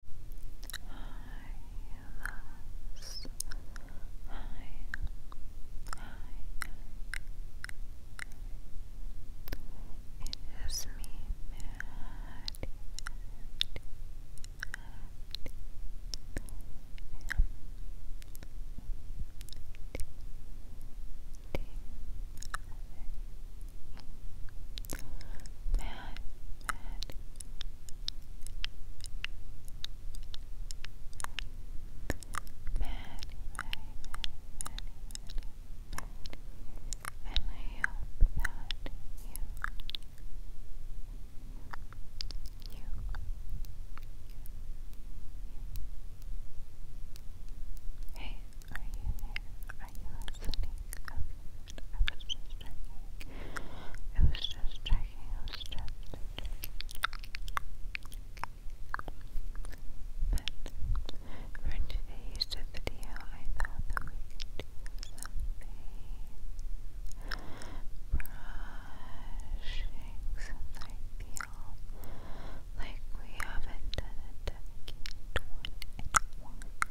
is me, Maddie, Maddie, Maddie, Maddie, Maddie, Hey, are you there? Are you listening? Okay was just It was just checking. It was just But for today's video, I thought we could do some brushing, since I feel like we haven't done a dedicated one a while.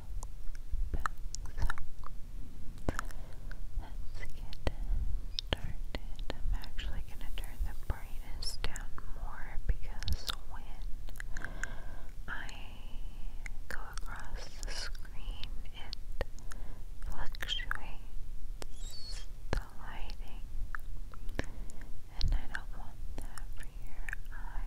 started. I'm actually going to turn the brightness down more because when I go across the screen, it fluctuates the lighting, and I don't want that for your eyes.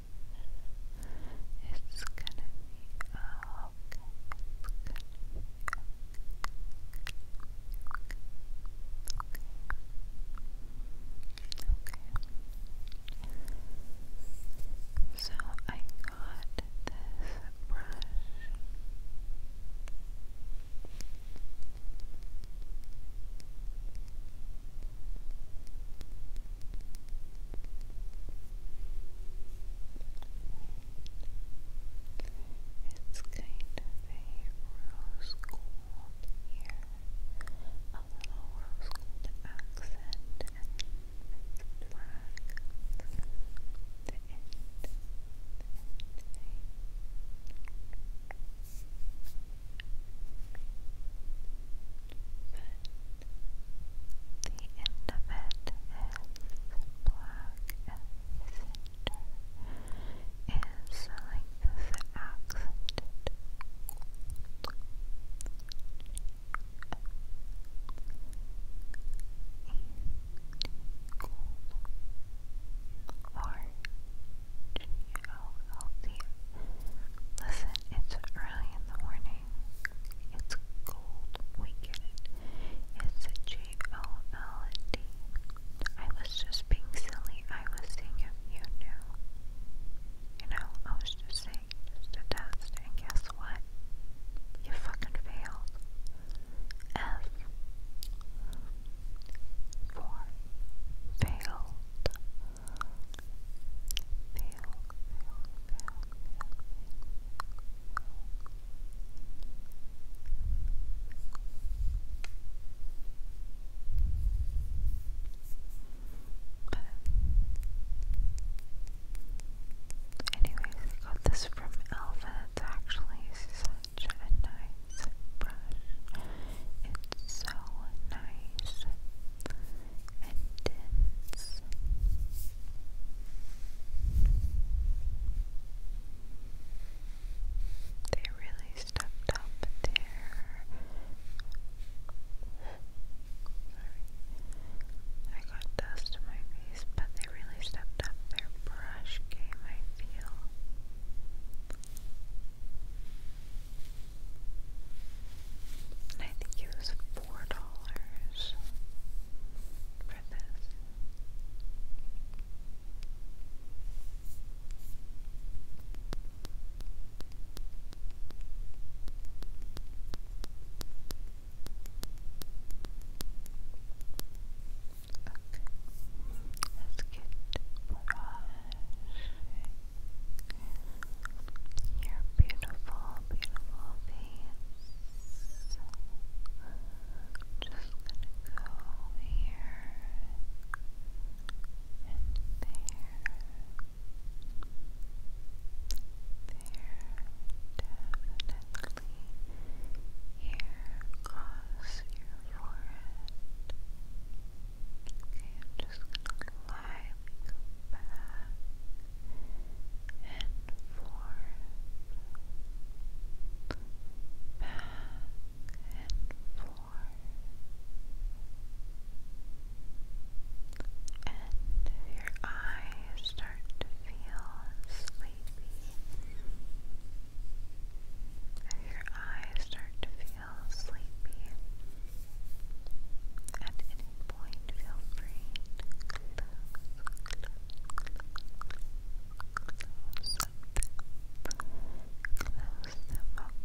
It's gonna be okay. It's gonna be okay. Okay. Okay. So I got this brush. I it's kind of a rose gold here, a rose gold accent, and it's black. The end, the end of is like this accented. Or Listen, it's early in the morning. It's gold. We It's a J O L D. I was just being silly. I was seeing you knew. You know, I was just saying, just a test, and guess what? You fucking failed. F. Four. Failed. But anyways, I got this from Elva. It's actually such a nice brush. It's so nice and dense. They really stepped up there. I got dust in my face, but they really stepped up their brush game, I feel. And I four dollars for this. let's get brushing your beautiful beautiful face. Just gonna go here and there, there, definitely here across your forehead. Okay, just glide Gently go back and forth, back and forth. And your eyes start to feel sleepy, your eyes start to feel sleepy, at any point, feel free to close, them, okay? Now we're just gonna lightly go back and forth.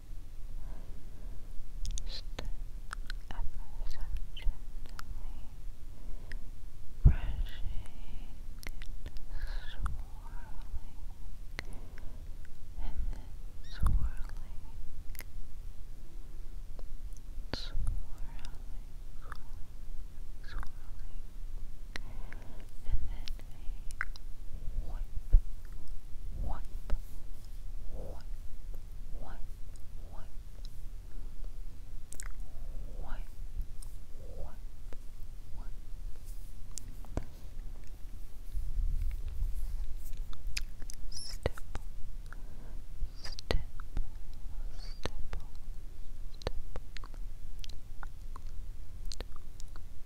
Just ever swirling and then swirling swirling swirling and then wipe, wipe, wipe, wipe, wipe, wipe, wipe, wipe. Step, step, step, step, step,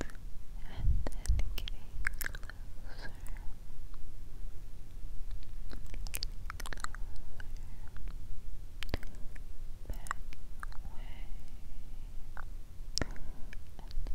and then getting closer, closer, back away, and Close, close,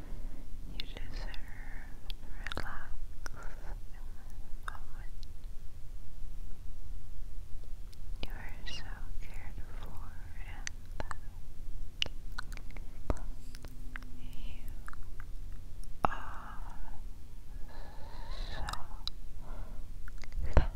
You deserve relax You are so cared for and You are so loved.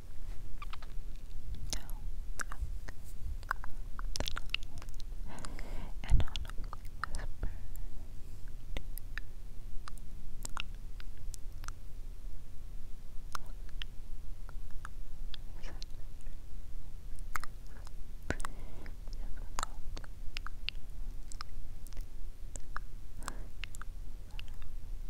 And on a whisper Difficult.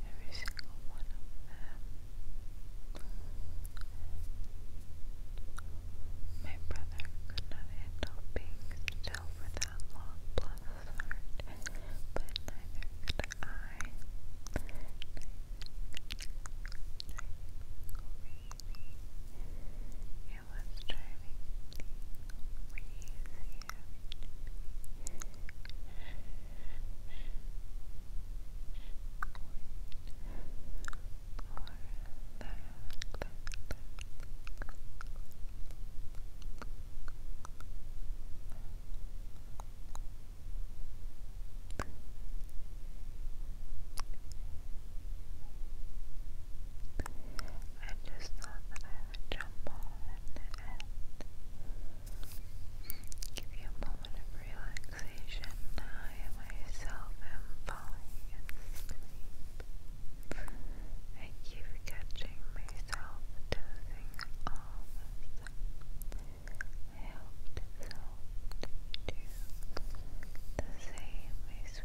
Every single My brother could not handle being still for that long, bless heart, but neither could I. I was driving crazy I just thought jump give you a moment of relaxation. I myself am falling asleep. I keep catching myself dozing off. I hope this do the same. I swear